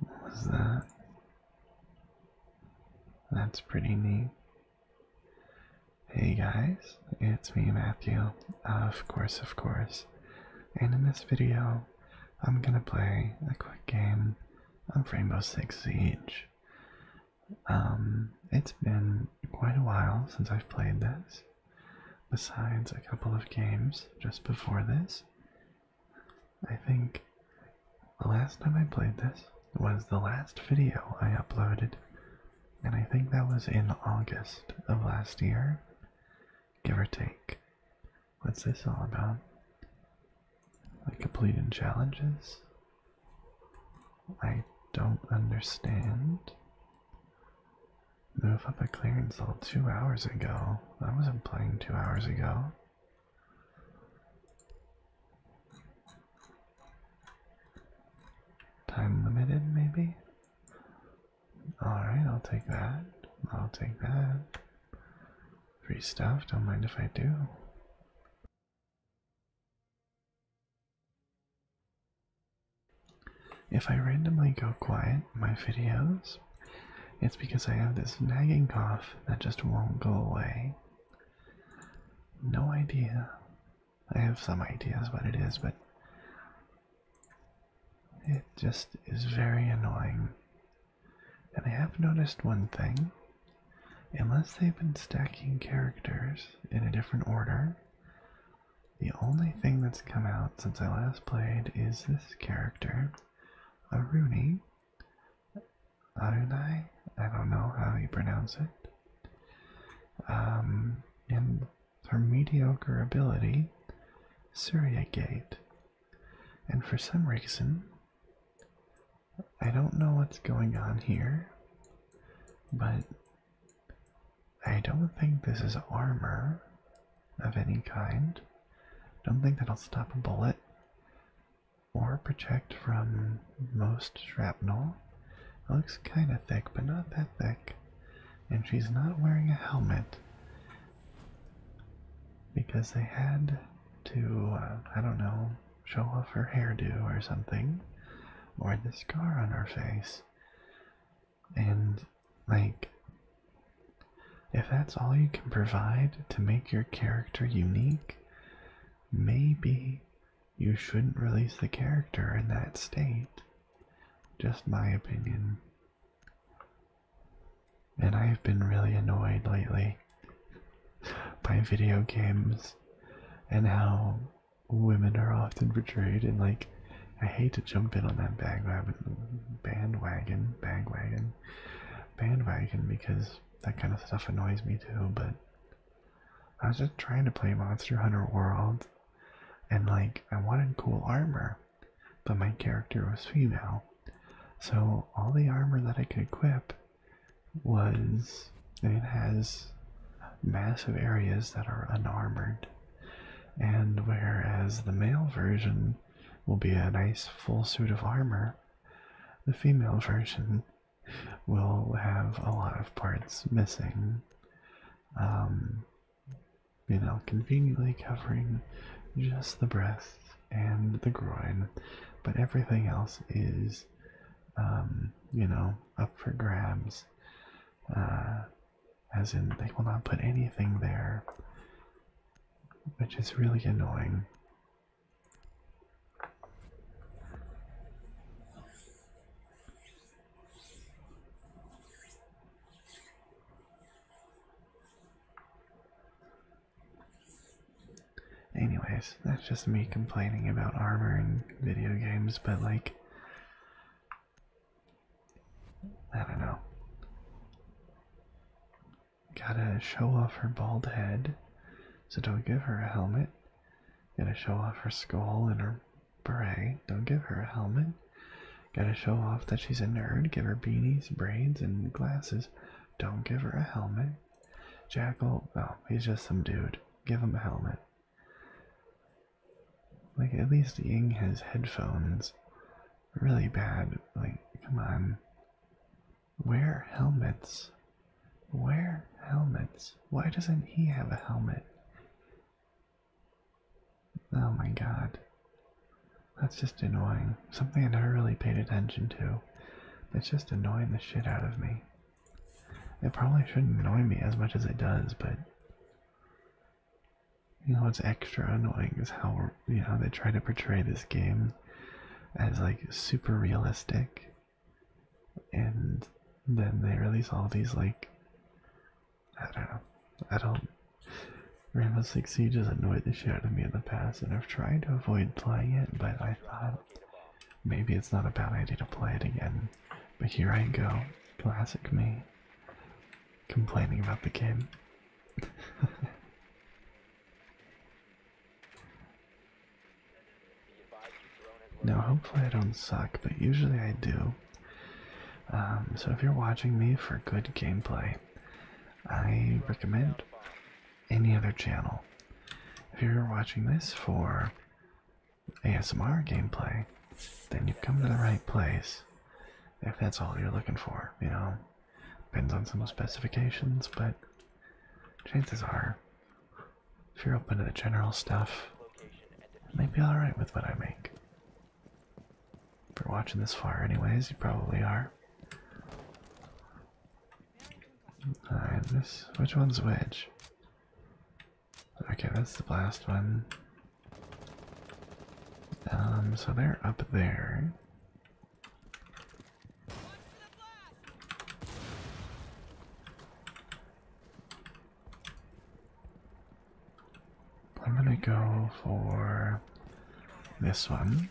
What was that? That's pretty neat. Hey guys, it's me Matthew, of course, of course, and in this video I'm gonna play a quick game of Rainbow Six Siege. Um, it's been quite a while since I've played this, besides a couple of games just before this. I think the last time I played this was the last video I uploaded, and I think that was in August of last year, give or take. What's this all about? Like completing challenges? I don't understand. Move up a clearance all two hours ago. I wasn't playing two hours ago. Time limited, maybe? Alright, I'll take that. I'll take that. Free stuff, don't mind if I do. If I randomly go quiet in my videos, it's because I have this nagging cough that just won't go away. No idea. I have some ideas what it is, but it just is very annoying. And I have noticed one thing Unless they've been stacking characters in a different order, the only thing that's come out since I last played is this character, Aruni. Arunai? I don't know how you pronounce it. Um, and her mediocre ability, Surya Gate. And for some reason, I don't know what's going on here, but I don't think this is armor of any kind. Don't think that'll stop a bullet or protect from most shrapnel. looks kind of thick, but not that thick. And she's not wearing a helmet because they had to, uh, I don't know, show off her hairdo or something, or the scar on her face. And, like, if that's all you can provide to make your character unique, maybe you shouldn't release the character in that state. Just my opinion. And I've been really annoyed lately by video games and how women are often portrayed in like I hate to jump in on that bandwagon bandwagon bandwagon bandwagon because that kind of stuff annoys me too but I was just trying to play Monster Hunter World and like I wanted cool armor but my character was female so all the armor that I could equip was it has massive areas that are unarmored, and whereas the male version will be a nice full suit of armor, the female version will have a lot of parts missing. Um, you know, conveniently covering just the breast and the groin, but everything else is, um, you know, up for grabs. Uh, as in, they will not put anything there, which is really annoying. Anyways, that's just me complaining about armor in video games, but like, I don't know. Gotta show off her bald head, so don't give her a helmet. Gotta show off her skull and her beret, don't give her a helmet. Gotta show off that she's a nerd, give her beanies, braids, and glasses, don't give her a helmet. Jackal, oh, he's just some dude, give him a helmet. Like, at least Ying has headphones. Really bad. Like, come on. Wear helmets. Wear helmets. Why doesn't he have a helmet? Oh my god. That's just annoying. Something I never really paid attention to. That's just annoying the shit out of me. It probably shouldn't annoy me as much as it does, but you know what's extra annoying is how you know they try to portray this game as like super realistic, and then they release all these like I don't know, I don't. Rainbow Six Siege has annoyed the shit out of me in the past, and I've tried to avoid playing it, but I thought Maybe it's not a bad idea to play it again, but here I go, classic me, complaining about the game. now, hopefully, I don't suck, but usually I do. Um, so, if you're watching me for good gameplay, I recommend any other channel. If you're watching this for ASMR gameplay, then you've come to the right place. If that's all you're looking for, you know. Depends on some specifications, but chances are, if you're open to the general stuff, it might be alright with what I make. If you're watching this far, anyways, you probably are. Uh, alright, this. Which one's which? Okay, that's the last one. Um, so they're up there. I'm gonna go for this one.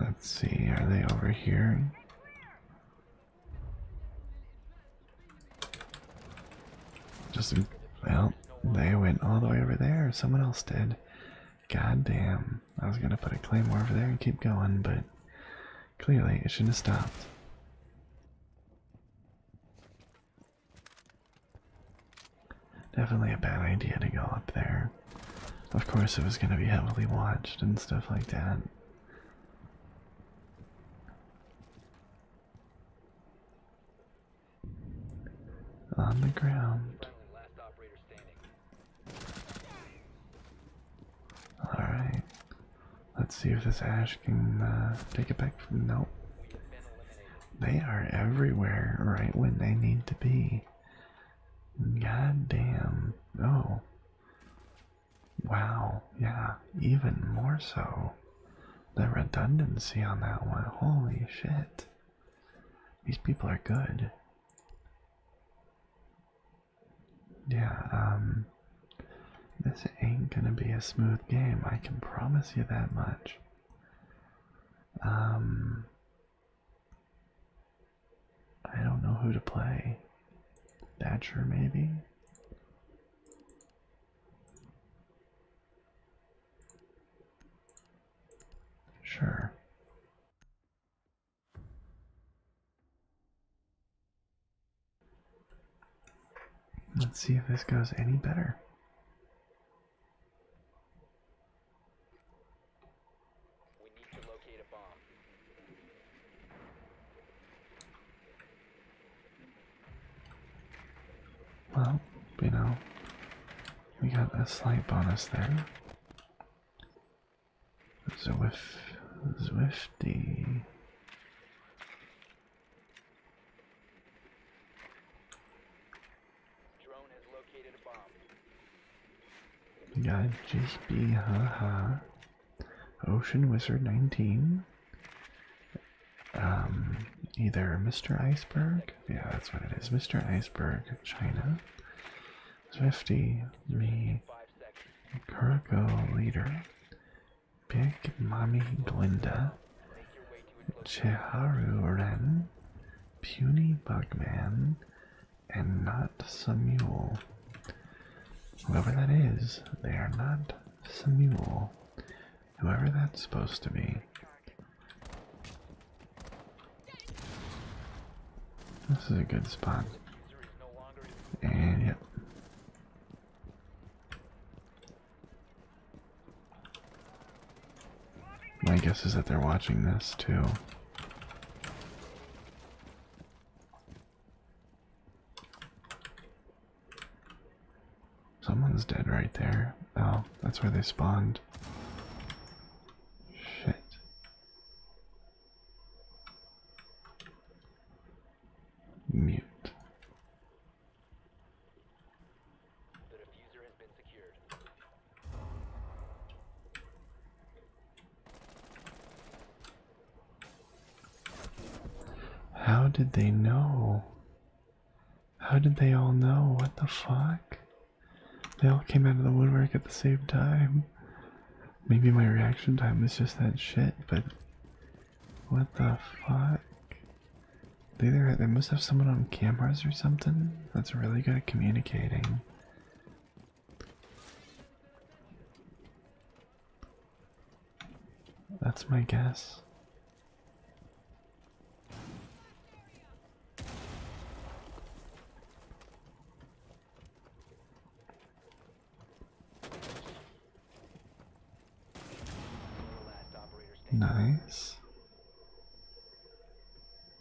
Let's see, are they over here? Just, well, they went all the way over there. Someone else did. God damn. I was gonna put a claymore over there and keep going, but clearly it shouldn't have stopped. Definitely a bad idea to go up there. Of course, it was going to be heavily watched and stuff like that. On the ground. Alright. Let's see if this ash can uh, take it back from. Nope. They are everywhere right when they need to be. God damn. Oh. Wow. Yeah. Even more so. The redundancy on that one. Holy shit. These people are good. Yeah, um. This ain't gonna be a smooth game. I can promise you that much. Um. I don't know who to play. Thatcher, maybe? Sure. Let's see if this goes any better. We need to locate a bomb. Well, you know, we got a slight bonus there. Zwift, Zwifty. Drone has located a bomb. Yeah, just be haha. Ocean Wizard 19. Um, either Mr. Iceberg, yeah, that's what it is. Mr. Iceberg, China. Swifty, me, Kuroko Leader, Big Mommy Glinda, Cheharu Ren, puny bugman and not Samuel. Whoever that is, they are not Samuel. Whoever that's supposed to be. This is a good spot. And yep. My guess is that they're watching this too. Someone's dead right there. Oh, that's where they spawned. Shit. Mute. How did they know? How did they all know? What the fuck? They all came out of the woodwork at the same time. Maybe my reaction time was just that shit, but what the fuck? They either they must have someone on cameras or something that's really good at communicating. That's my guess. Nice.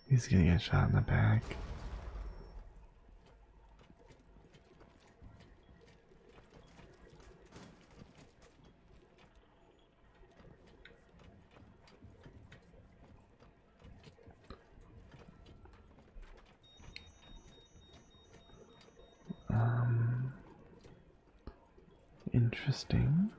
He's gonna get shot in the back. Um, interesting.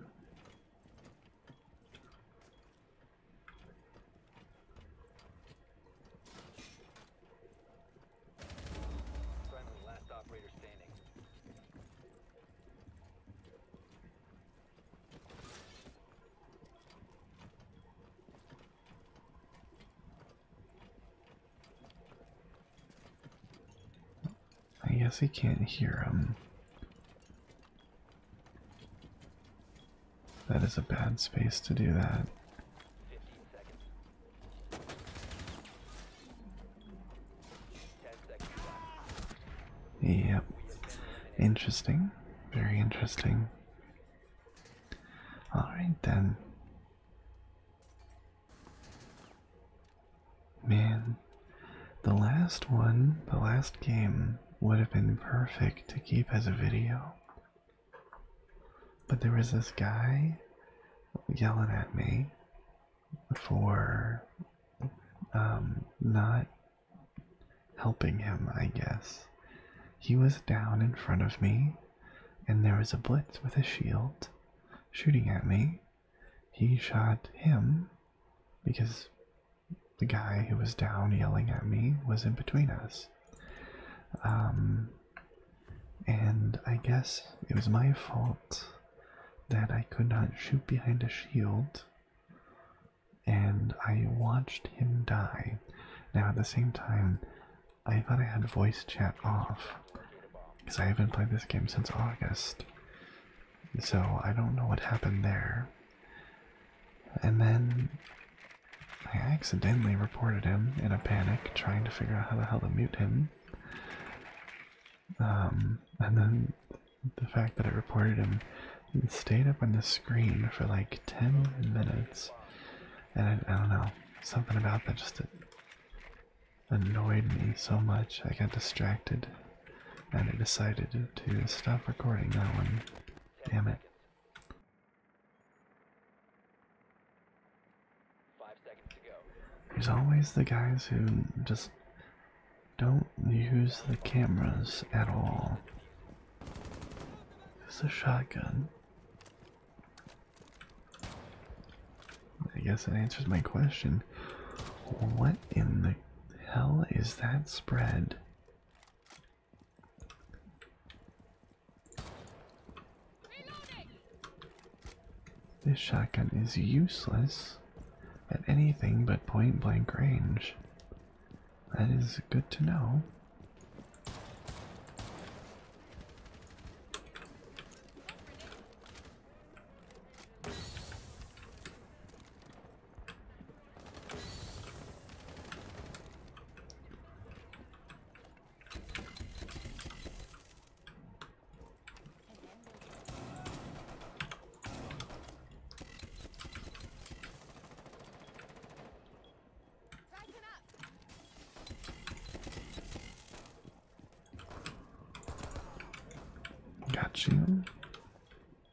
I guess he can't hear him. That is a bad space to do that. Yep. Interesting. Very interesting. Alright then. Man, the last one, the last game would have been perfect to keep as a video. But there was this guy yelling at me for um, not helping him, I guess. He was down in front of me, and there was a blitz with a shield shooting at me. He shot him because the guy who was down yelling at me was in between us. Um, and I guess it was my fault that I could not shoot behind a shield and I watched him die. Now, at the same time, I thought I had voice chat off because I haven't played this game since August. So I don't know what happened there. And then I accidentally reported him in a panic, trying to figure out how the hell to mute him. Um, and then the fact that I reported him stayed up on the screen for like 10 minutes. And I, I don't know, something about that just annoyed me so much. I got distracted and I decided to stop recording that one. Damn it. There's always the guys who just don't use the cameras at all. It's a shotgun. I guess it answers my question. What in the hell is that spread? This shotgun is useless at anything but point blank range. That is good to know. Got you.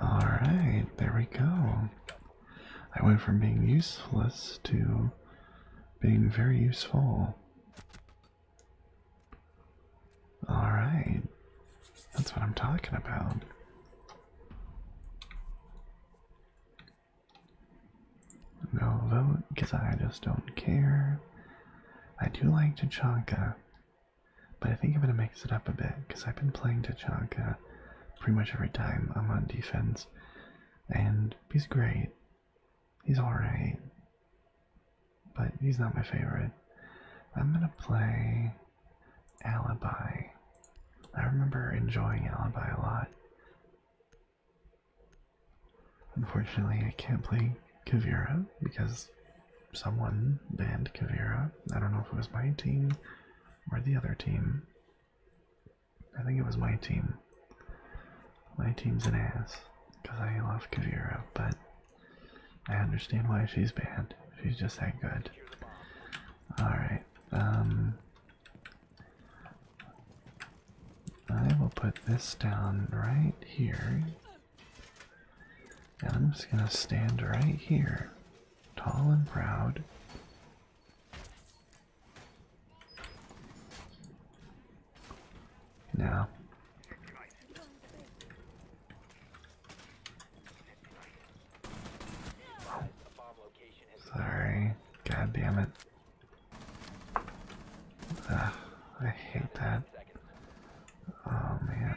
All right, there we go. I went from being useless to being very useful. All right, that's what I'm talking about. No vote because I just don't care. I do like Tachanka. But I think I'm going to mix it up a bit because I've been playing Tachanka pretty much every time I'm on defense. And he's great. He's alright. But he's not my favorite. I'm going to play Alibi. I remember enjoying Alibi a lot. Unfortunately, I can't play Kavira because someone banned Kavira. I don't know if it was my team or the other team. I think it was my team. My team's an ass because I love Kavira, but I understand why she's banned. She's just that good. Alright, um, I will put this down right here and I'm just gonna stand right here, tall and proud. Now, sorry, god damn it. Ugh, I hate that. Oh man.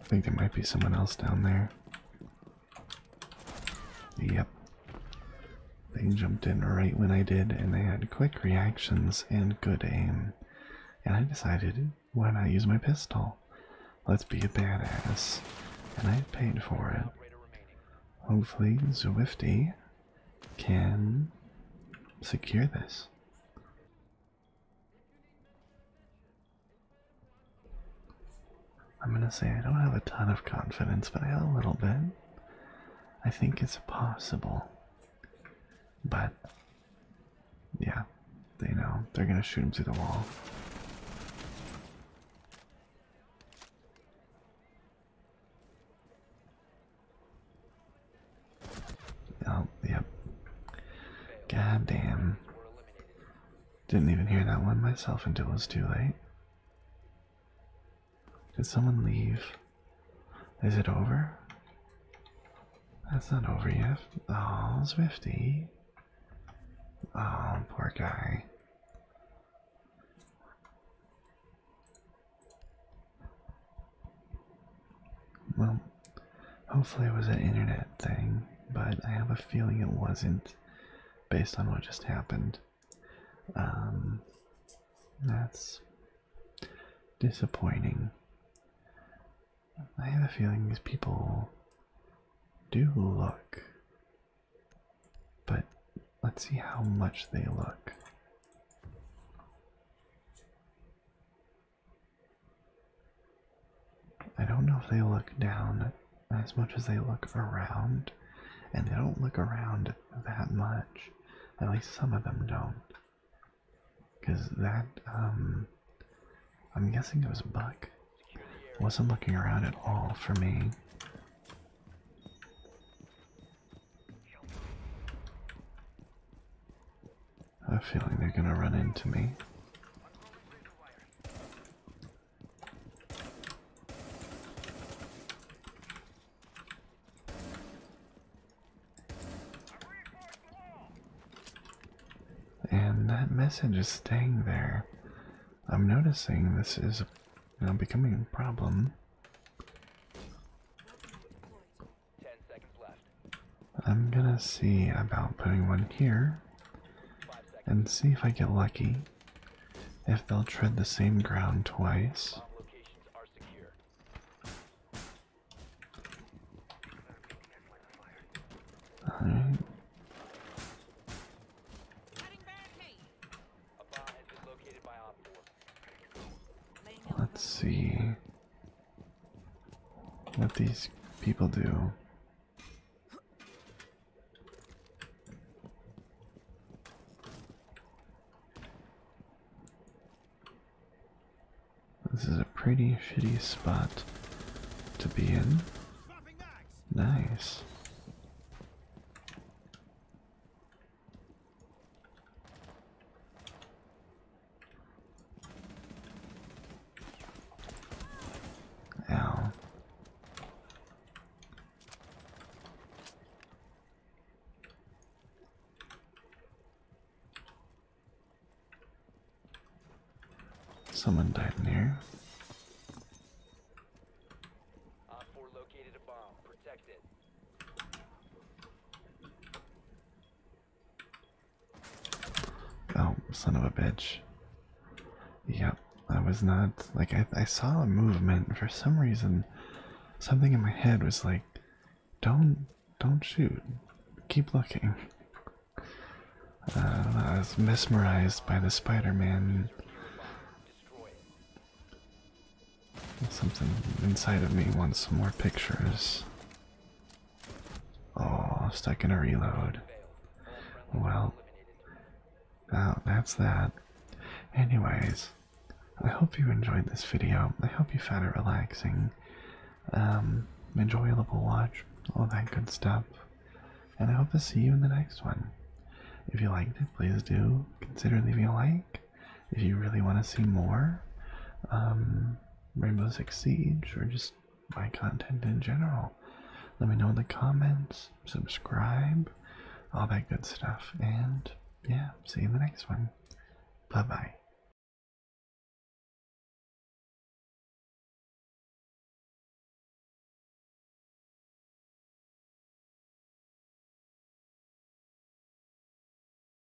I think there might be someone else down there. Yep. They jumped in right when I did, and they had quick reactions and good aim. And I decided, why not use my pistol? Let's be a badass. And I paid for it. Hopefully, Zwifty can secure this. I'm gonna say I don't have a ton of confidence, but I have a little bit. I think it's possible. But, yeah, they know. They're gonna shoot him through the wall. Oh, yep. God damn. Didn't even hear that one myself until it was too late. Did someone leave? Is it over? That's not over yet. Oh, Swifty. Oh, poor guy. Well, hopefully it was an internet thing, but I have a feeling it wasn't based on what just happened. Um, that's disappointing. I have a feeling these people do look, but let's see how much they look. I don't know if they look down as much as they look around, and they don't look around that much. At least some of them don't. Because that, um, I'm guessing it was Buck. Wasn't looking around at all for me. I have a feeling they're going to run into me. And that message is staying there. I'm noticing this is you becoming a problem. I'm gonna see about putting one here and see if I get lucky. If they'll tread the same ground twice. Alright. Let's see what these people do. This is a pretty shitty spot to be in. Nice. Ow. Someone died in here. Op 4 located a bomb. Protect it. Oh, son of a bitch. Yep, I was not like I I saw a movement for some reason something in my head was like don't don't shoot. Keep looking. Uh, I was mesmerized by the Spider-Man. Something inside of me wants some more pictures. Oh, stuck in a reload. Well, that's that. Anyways, I hope you enjoyed this video. I hope you found it relaxing, um, enjoyable watch, all that good stuff. And I hope to see you in the next one. If you liked it, please do consider leaving a like if you really want to see more um, Rainbow Six Siege or just my content in general, let me know in the comments, subscribe, all that good stuff, and yeah, see you in the next one. Bye bye.